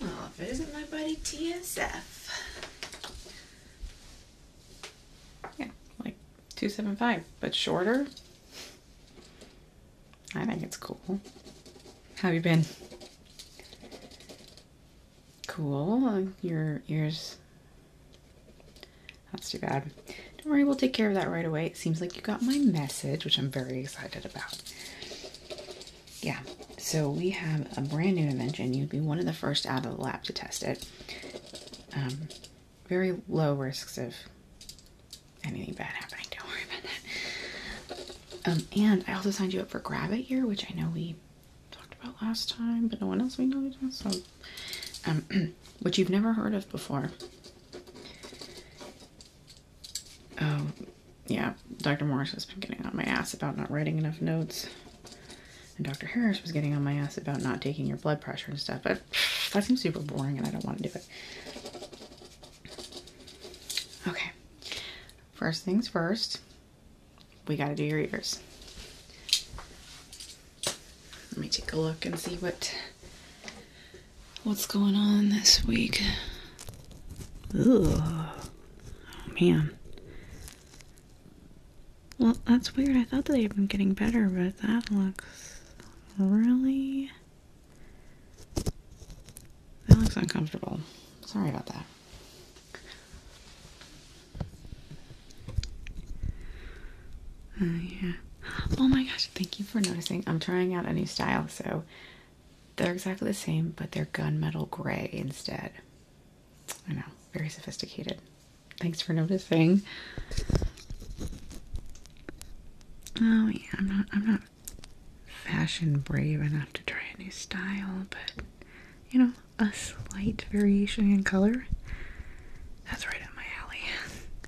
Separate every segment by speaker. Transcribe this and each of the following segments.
Speaker 1: Oh, if it isn't my buddy TSF. Yeah, like 275, but shorter. I think it's cool. How you been? Cool. Your ears that's too bad. Don't worry, we'll take care of that right away. It seems like you got my message, which I'm very excited about. Yeah, so we have a brand new invention. You'd be one of the first out of the lab to test it. Um, very low risks of anything bad happening. Don't worry about that. Um, and I also signed you up for Gravit It Year, which I know we talked about last time, but no one else we know. So, um, which you've never heard of before. Oh, yeah, Dr. Morris has been getting on my ass about not writing enough notes. And Dr. Harris was getting on my ass about not taking your blood pressure and stuff. But that seems super boring and I don't want to do it. Okay. First things first, we got to do your ears. Let me take a look and see what what's going on this week. Oh man. Well, that's weird. I thought that they've been getting better, but that looks really. That looks uncomfortable. Sorry about that. Uh, yeah. Oh my gosh, thank you for noticing. I'm trying out a new style, so they're exactly the same, but they're gunmetal gray instead. I know, very sophisticated. Thanks for noticing. Oh yeah, I'm not I'm not fashion brave enough to try a new style, but you know, a slight variation in color. That's right up my alley.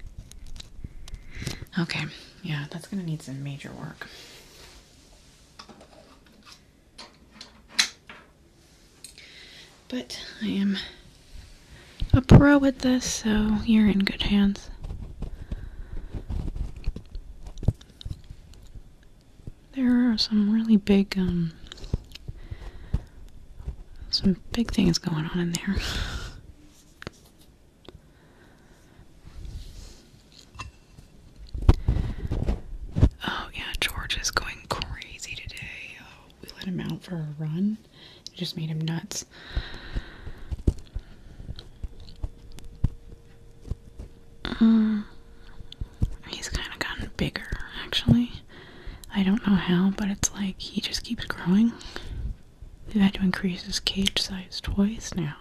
Speaker 1: Okay, yeah, that's gonna need some major work. But I am a pro with this, so you're in good hands. There are some really big, um, some big things going on in there. Oh, yeah, George is going crazy today. Oh, we let him out for a run, it just made him nuts. Uh, he's kind of gotten bigger, actually. I don't know how, but it's like he just keeps growing. They've had to increase his cage size twice now.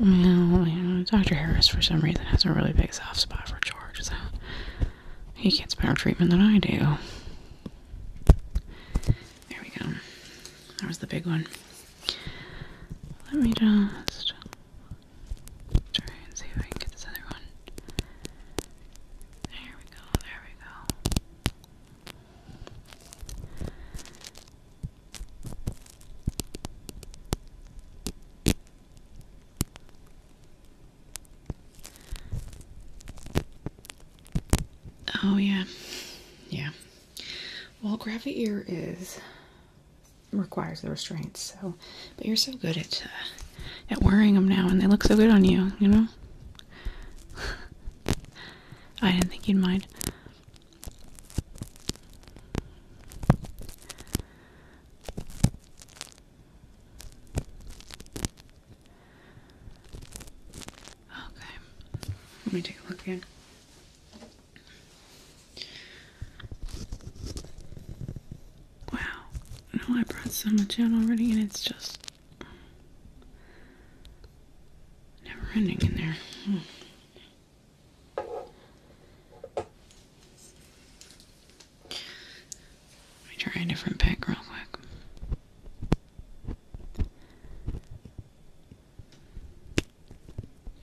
Speaker 1: Well, you know, Dr. Harris, for some reason, has a really big soft spot for George, so he gets better treatment than I do. There we go. That was the big one. Let me just try and see if I can get this other one. There we go, there we go. Oh, yeah. Yeah. Well, Gravity Ear is requires the restraints, so but you're so good at uh, at wearing them now, and they look so good on you. You know. I didn't think you'd mind. Okay. Let me take a look again. Wow. I I brought so much out already, and it's just never ending in there. Hmm. Let me try a different pick real quick.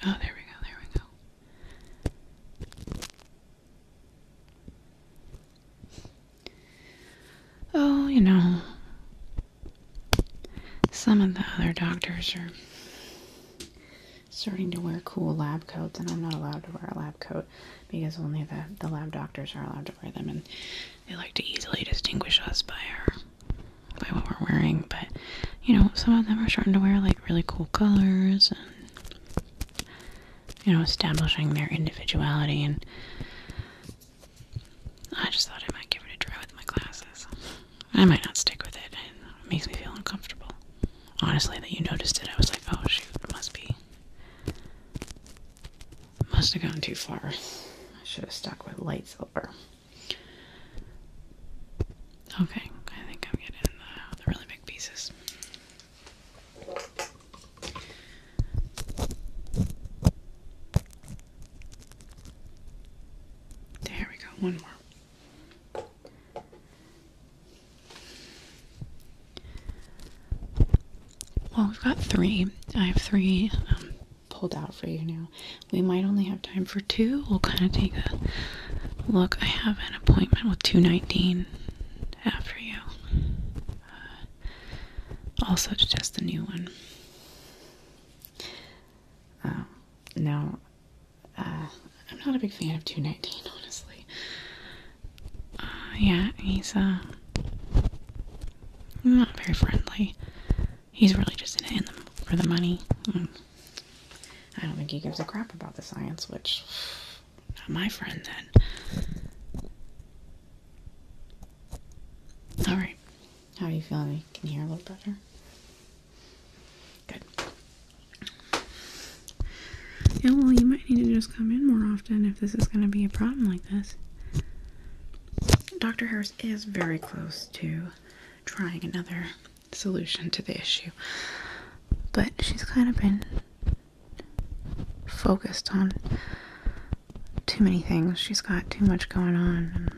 Speaker 1: Oh, there we go, there we go. Oh, you know, some of the other doctors are starting to wear cool lab coats, and I'm not allowed to wear a lab coat because only the, the lab doctors are allowed to wear them, and they like to easily distinguish us by our by what we're wearing. But you know, some of them are starting to wear like really cool colors you know, establishing their individuality. And I just thought I might give it a try with my classes. I might not stick with it. and It makes me feel uncomfortable. Honestly, that you noticed it, I was like, oh shoot, it must be. Must have gone too far. I should have stuck with light silver. Okay, I think I'm getting the, uh, the really big pieces. There we go, one more. Well, we've got three. I have three um, pulled out for you now. We might only have time for two. We'll kind of take a look. I have an appointment with 219 after you. Uh, also to test the new one. Um, uh, now, I'm not a big fan of 219, honestly. Uh, yeah, he's uh, not very friendly. He's really just in it for the money. I don't think he gives a crap about the science, which not my friend then. Alright. How are you feeling? Can you hear a little better? Good. Yeah, well, you might need to just come in more often if this is going to be a problem like this. Dr. Harris is very close to trying another solution to the issue, but she's kind of been focused on too many things. She's got too much going on.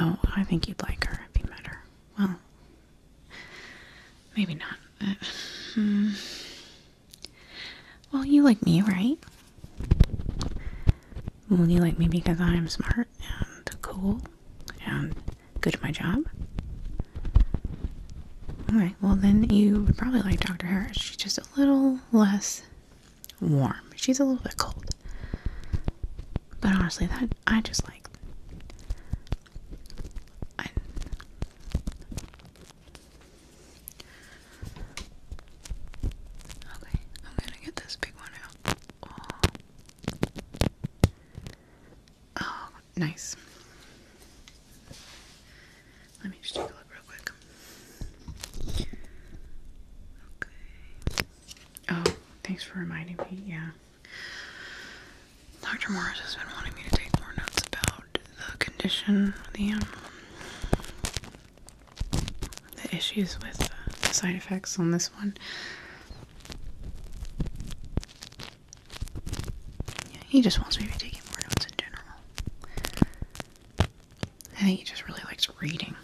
Speaker 1: Oh, I think you'd like her if you met her. Well, maybe not. Uh, hmm. Well, you like me, right? Well, you like me because I'm smart and cool and good at my job. Alright, well, then you would probably like Dr. Harris. She's just a little less warm, she's a little bit cold. But honestly, that I just like. Okay, I'm gonna get this big one out. Oh, oh, nice. Let me just take a look real quick. Okay. Oh, thanks for reminding me. Yeah. Dr. Morris has been wanting me to take more notes about the condition, the um, the issues with the side effects on this one. he just wants me to be taking more notes in general. I think he just really likes reading.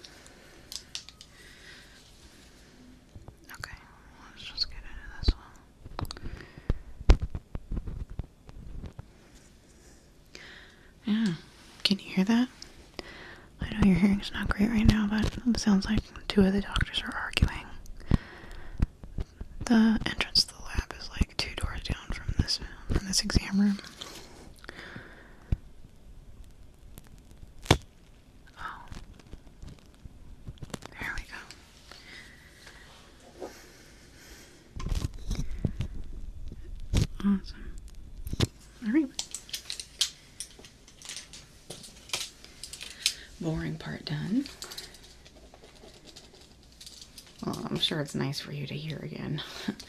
Speaker 1: Okay, let's just get into this one. Yeah. Can you hear that? I know your hearing's not great right now, but it sounds like two of the doctors are arguing. The entrance to the lab is like two doors down from this from this exam room. Oh. There we go. Awesome. Alright. Boring part done. Well, I'm sure it's nice for you to hear again.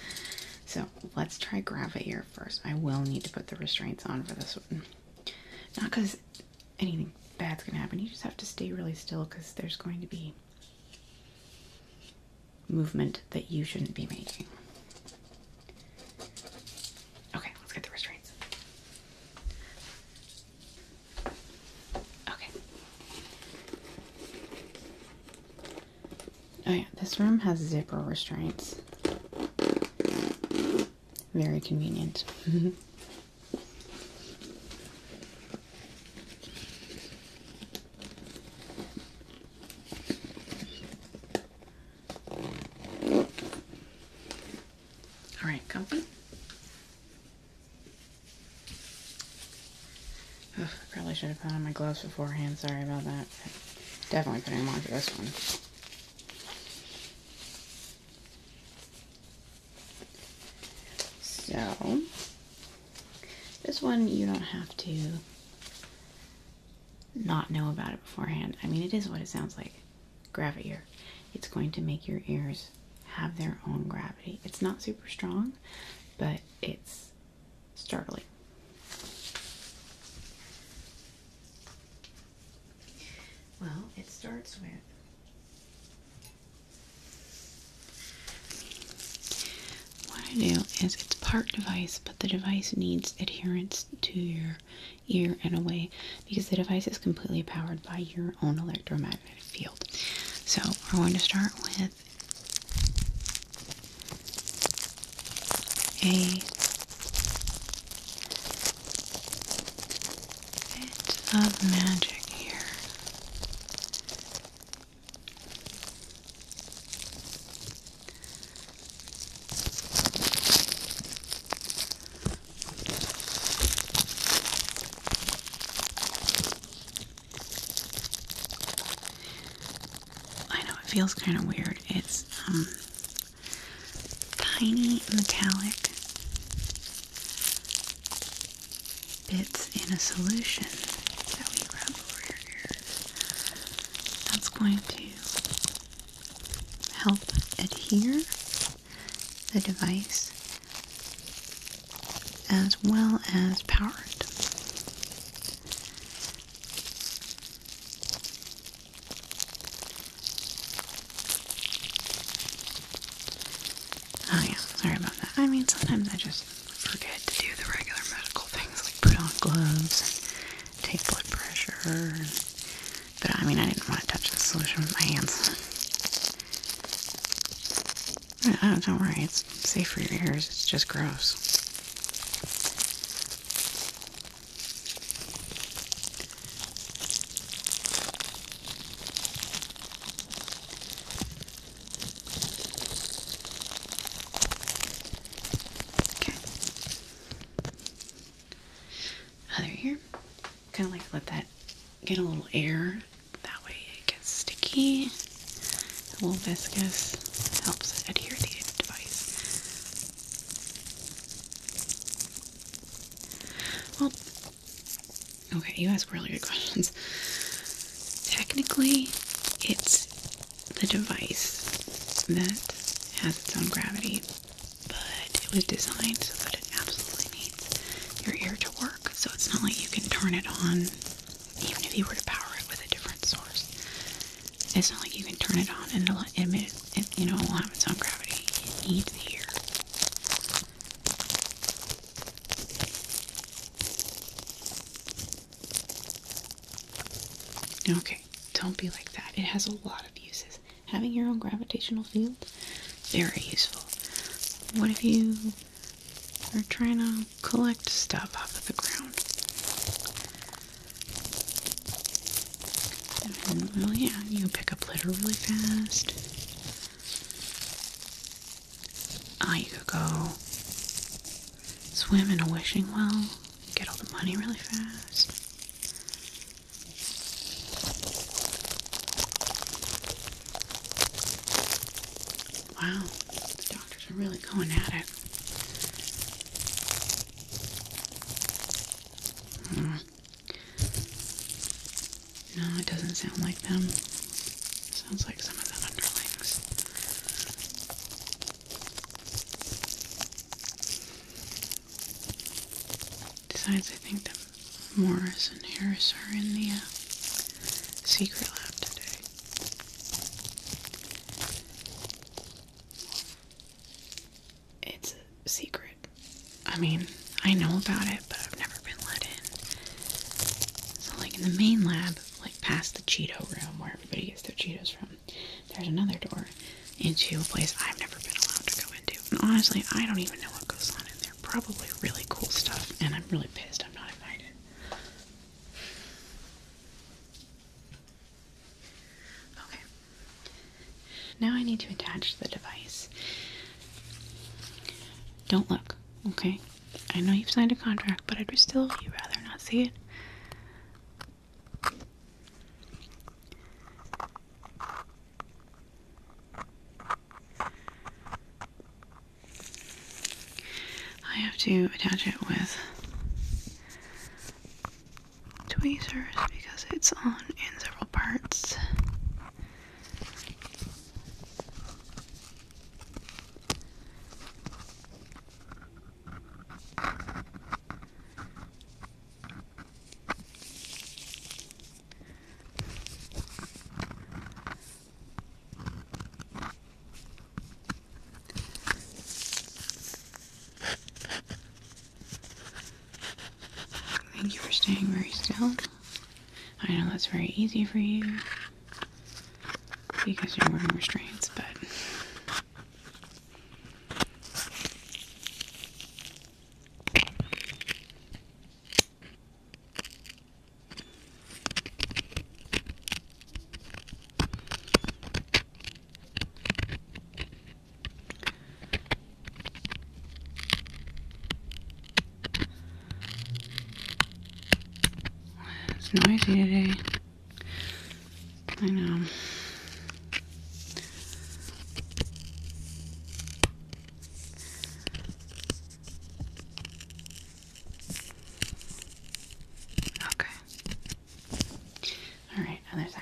Speaker 1: so let's try gravity first. I will need to put the restraints on for this one. Not because anything bad's gonna happen. You just have to stay really still because there's going to be movement that you shouldn't be making. Okay, let's get the restraints. Okay. Oh, yeah, this room has zipper restraints. Very convenient. All right, comfy. Ugh, probably should have put on my gloves beforehand. Sorry about that. Definitely putting them on for this one. So, this one, you don't have to not know about it beforehand. I mean, it is what it sounds like. Gravity It's going to make your ears have their own gravity. It's not super strong, but it's startling. Well, it starts with what I do is it's part device, but the device needs adherence to your ear in a way because the device is completely powered by your own electromagnetic field. So we're going to start with a bit of magic here. I know it feels kind of weird. It's um, tiny metallic bits in a solution that we rub over your ears. That's going to help adhere the device as well as power it. Oh yeah, sorry about that. I mean, sometimes I just forget to do the regular medical things like put on gloves take blood pressure. but I mean, I didn't want to touch the solution with my hands. don't worry, it's safe for your ears, it's just gross. Okay. Other ear. Kind of like let that get a little air. That way it gets sticky. A little viscous. Helps adhere the device. Well, okay, you ask really good questions. Technically, it's the device that has its own gravity, but it was designed so that it absolutely needs your ear to work. So it's not like you can turn it on even if you were to power it with a different source. It's not like you can turn it on and it'll emit, you know, it'll have its own gravity. It needs the ear. Okay, don't be like that. It has a lot of uses. Having your own gravitational field, very useful. What if you are trying to collect stuff off of the ground? Mm, well, yeah, you pick up litter really fast. Ah, you could go swim in a wishing well, get all the money really fast. Wow, the doctors are really going at it. Hmm. No, it doesn't sound like them. Sounds like some of the underlings. Besides, I think that Morris and Harris are in the uh, secret lab today. It's a secret. I mean, I know about it, but I've never been let in. So, like in the main lab, like past the Cheeto room where everybody gets their Cheetos from, there's another door into a place I've never been allowed to go into. honestly, I don't even know what goes on in there. Probably really cool stuff, and I'm really pissed I'm not invited. Okay. Now I need to attach the device. Don't look, okay? I know you've signed a contract, but I'd still you rather not see it. I have to attach it with tweezers because it's on in several parts. Thank you for staying very still. I know that's very easy for you because you're wearing restraints, but it's noisy today. I know. Okay. All right, other side.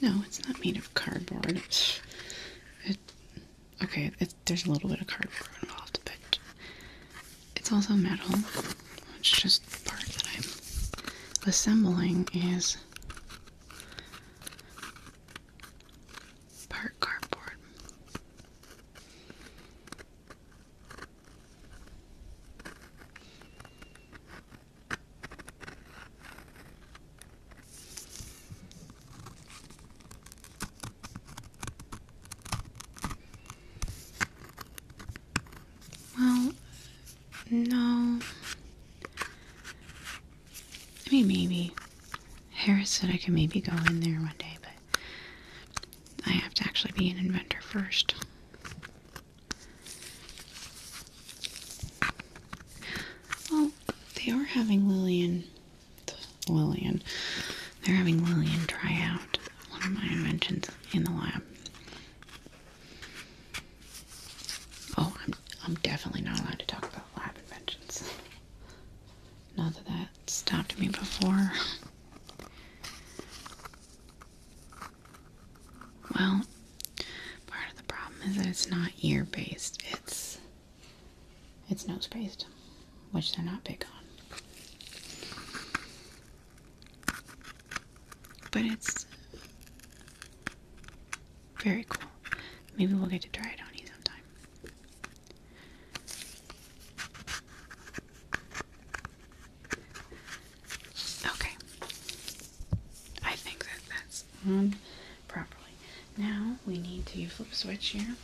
Speaker 1: No, it's not made of cardboard. It, okay, there's a little bit of cardboard involved, but it's also metal. It's just part that I'm assembling is part cardboard. Well, no. I mean, maybe. Harris said I could maybe go in there one day, but I have to actually be an inventor first. Well, they are having Lillian, Lillian, they're having Lillian try out one of my inventions in the lab. Oh, I'm, I'm definitely not allowed to talk about lab inventions. Not that that stopped me before. Well, Part of the problem is that it's not ear based, it's it's nose based, which they're not big on. But it's very cool. Maybe we'll get to try it on you sometime. Okay. I think that that's on properly. Now we need to flip switch here.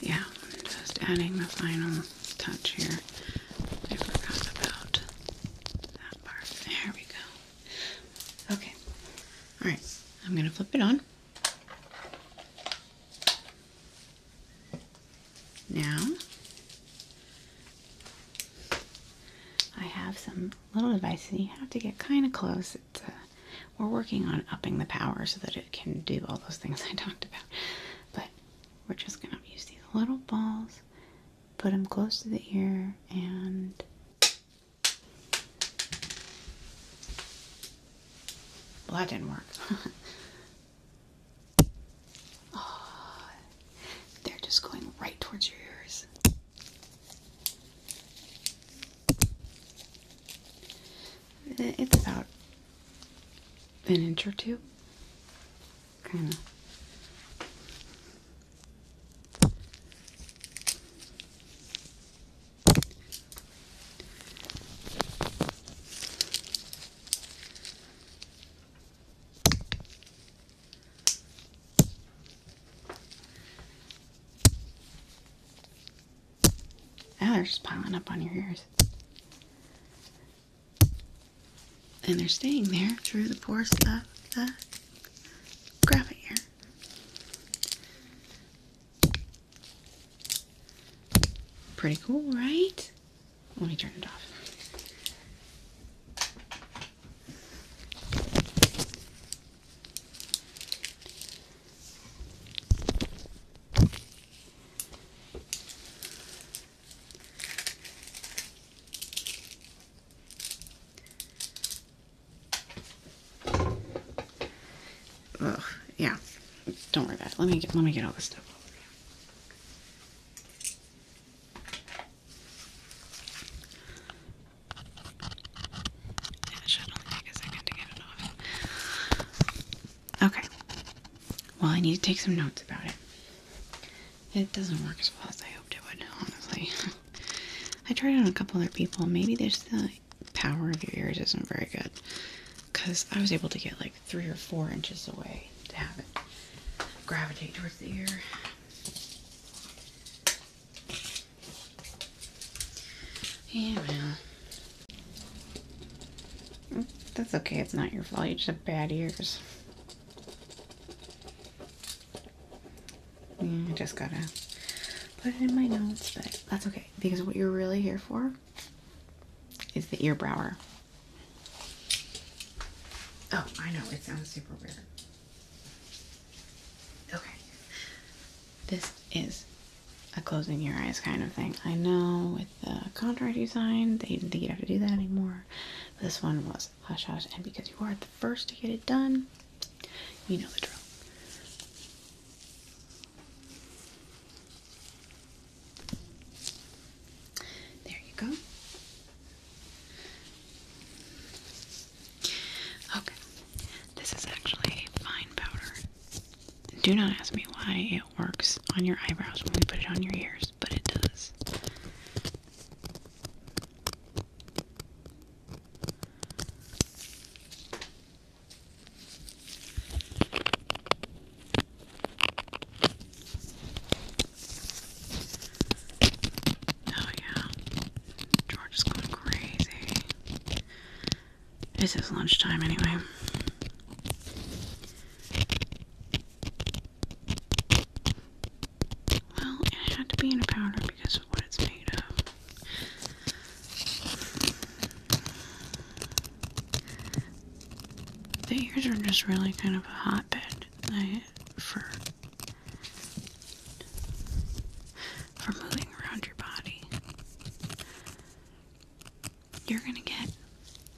Speaker 1: Yeah, just adding the final touch here. I forgot about that part. There we go. Okay. All right. I'm going to flip it on. Now, I have some little devices. You have to get kind of close. It's, uh, we're working on upping the power so that it can do all those things I talked about. But we're just going to use these little balls, put them close to the ear, and well, that didn't work. oh, they're just going right towards your ears. It's about an inch or two. Kind of. Now oh, they're just piling up on your ears. And they're staying there through the pores of the graphite here. Pretty cool, right? Let me turn it off. Ugh, yeah. Don't worry about it. Let me get let me get all this stuff over here. Yeah, should only take a second to get it off. Okay. Well, I need to take some notes about it. It doesn't work as well as I hoped it would, honestly. I tried it on a couple other people. Maybe there's the power of your ears isn't very good because I was able to get like three or four inches away to have it gravitate towards the ear. Yeah, well, mm, that's okay. It's not your fault. You just have bad ears. Yeah, I just gotta put it in my notes, but that's okay because what you're really here for is the ear Oh, I know it sounds super weird. Okay, this is a closing your eyes kind of thing. I know with the contract you signed, they didn't think you'd have to do that anymore. This one was hush hush, and because you are the first to get it done, you know the drill. There you go. Okay, this is actually a fine powder. Do not ask me why it works on your eyebrows when we put it on your ears, but it does. Oh, yeah. George is going crazy. It's his lunchtime, anyway. Well, it had to be in a powder because of what it's made of. The ears are just really kind of a hotbed for for moving around your body. You're gonna get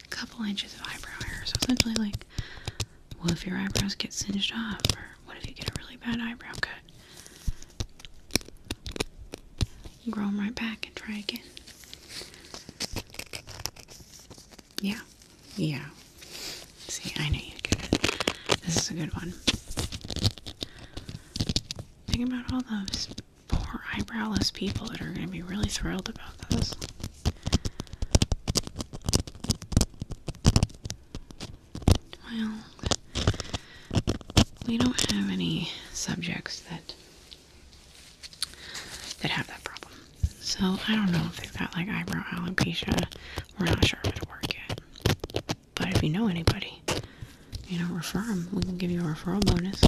Speaker 1: a couple inches of eyebrow hair. So essentially, like, well, if your eyebrows get singed off, or what if you get a really bad eyebrow cut? grow them right back and try again. Yeah, yeah. See, I know you get it. This is a good one. Think about all those poor eyebrowless people that are going to be really thrilled about this. Well, we don't have any subjects that that have that problem. So I don't know if they've got like eyebrow alopecia. We're not sure if it'll work yet. But if you know anybody, you know, refer them. We can give you a referral bonus.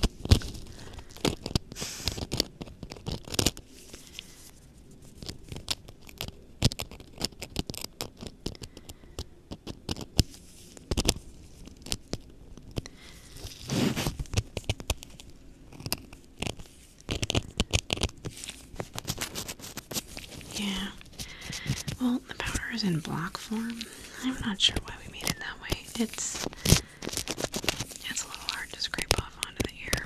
Speaker 1: Yeah. Well, the powder is in block form. I'm not sure why we made it that way. It's it's a little hard to scrape off onto the ear.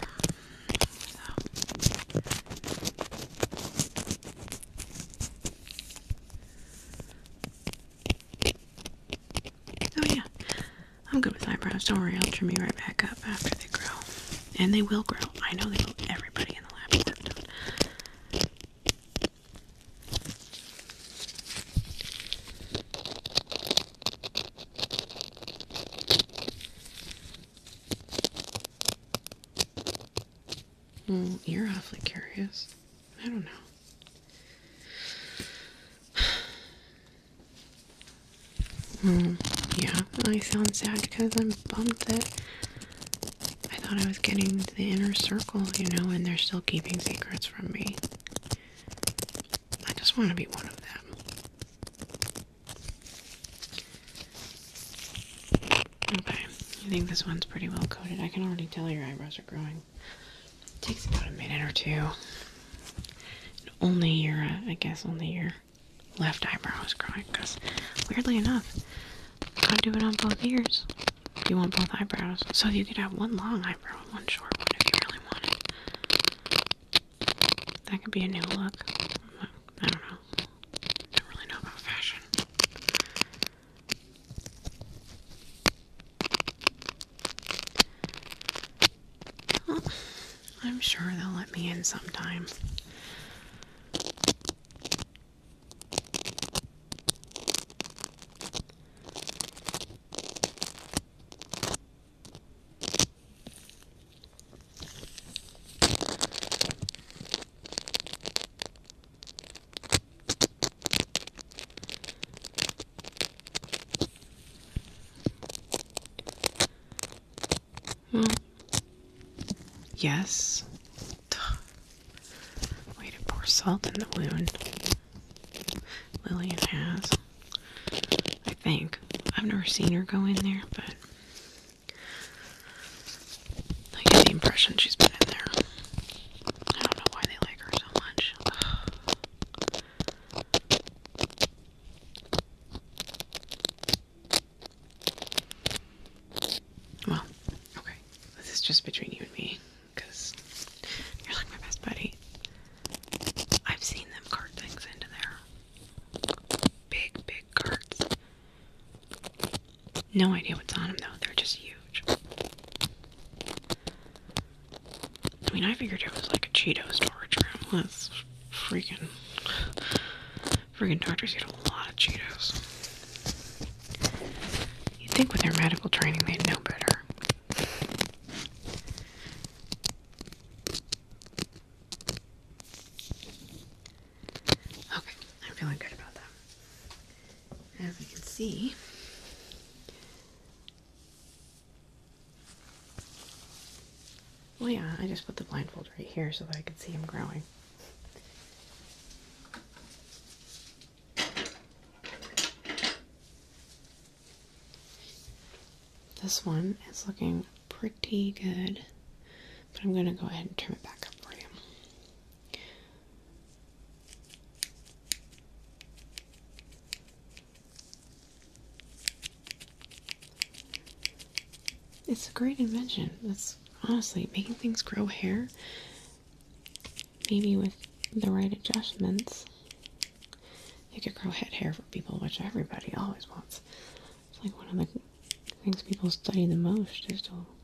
Speaker 1: Oh yeah, I'm good with eyebrows. Don't worry, I'll trim me right back up after they grow. And they will grow. I know they will. Everybody in the lab is done. Mm, you're awfully curious. I don't know. yeah, I sound sad because I'm bummed that I thought I was getting the inner circle, you know, and they're still keeping secrets from me. I just want to be one of them. Okay, I think this one's pretty well coated. I can already tell your eyebrows are growing. It takes about a minute or two. And only your, uh, I guess, only your left eyebrow is growing because, weirdly enough, I do it on both ears. You want both eyebrows, so you could have one long eyebrow and one short one if you really wanted. That could be a new look. I don't know. don't really know about fashion. I'm sure they'll let me in sometime. Hmm. yes. Way to pour salt in the wound. Lillian has. I think. I've never seen her go in there, but I get the impression she's been in there. I don't know why they like her so much. well, okay. This is just between you and me, you're like my best buddy. I've seen them cart things into there. Big, big carts. No idea what's on them though. They're just huge. I mean, I figured it was like a Cheeto storage room. That's freaking. Freaking doctors eat a lot of Cheetos. You'd think with their medical training they'd know better. Okay, I'm feeling good about that as you can see, oh yeah, I just put the blindfold right here so that I can see him growing. This one is looking pretty good, but I'm going to go ahead and turn it back up for you. It's a great invention. That's honestly making things grow hair. Maybe with the right adjustments, you could grow head hair for people, which everybody always wants. It's like one of the things people study the most is to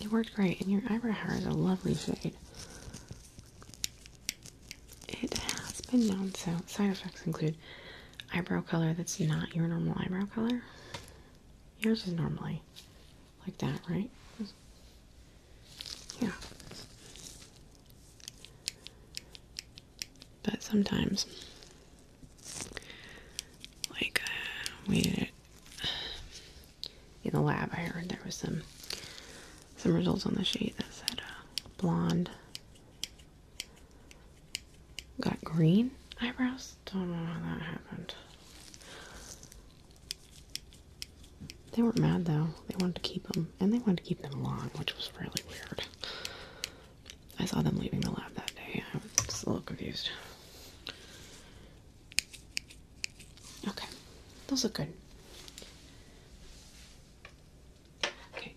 Speaker 1: It worked great, and your eyebrow hair is a lovely shade. It has been known, so side effects include eyebrow color that's not your normal eyebrow color. Yours is normally like that, right? Yeah. But sometimes, like, uh, we in the lab. I heard there was some some results on the sheet that said uh, blonde got green eyebrows. Don't know how that happened. They weren't mad though. They wanted to keep them, and they wanted to keep them long, which was really weird. I saw them leaving the lab that day. I was a little confused. Okay, those look good. Okay.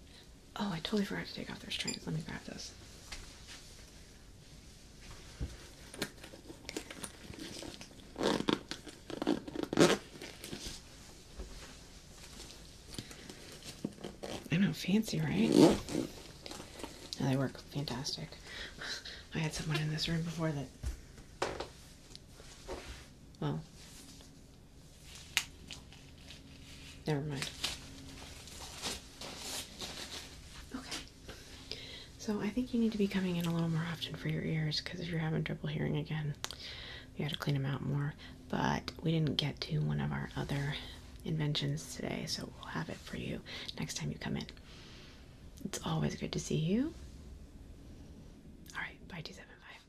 Speaker 1: Oh, I totally forgot to take off those trains. Let me grab those. I know, fancy, right? No, they work fantastic. I had someone in this room before that well, never mind. Okay. So I think you need to be coming in a little more often for your ears because if you're having trouble hearing again, you got to clean them out more. But we didn't get to one of our other inventions today, so we'll have it for you next time you come in. It's always good to see you. All right, bye, two seven five.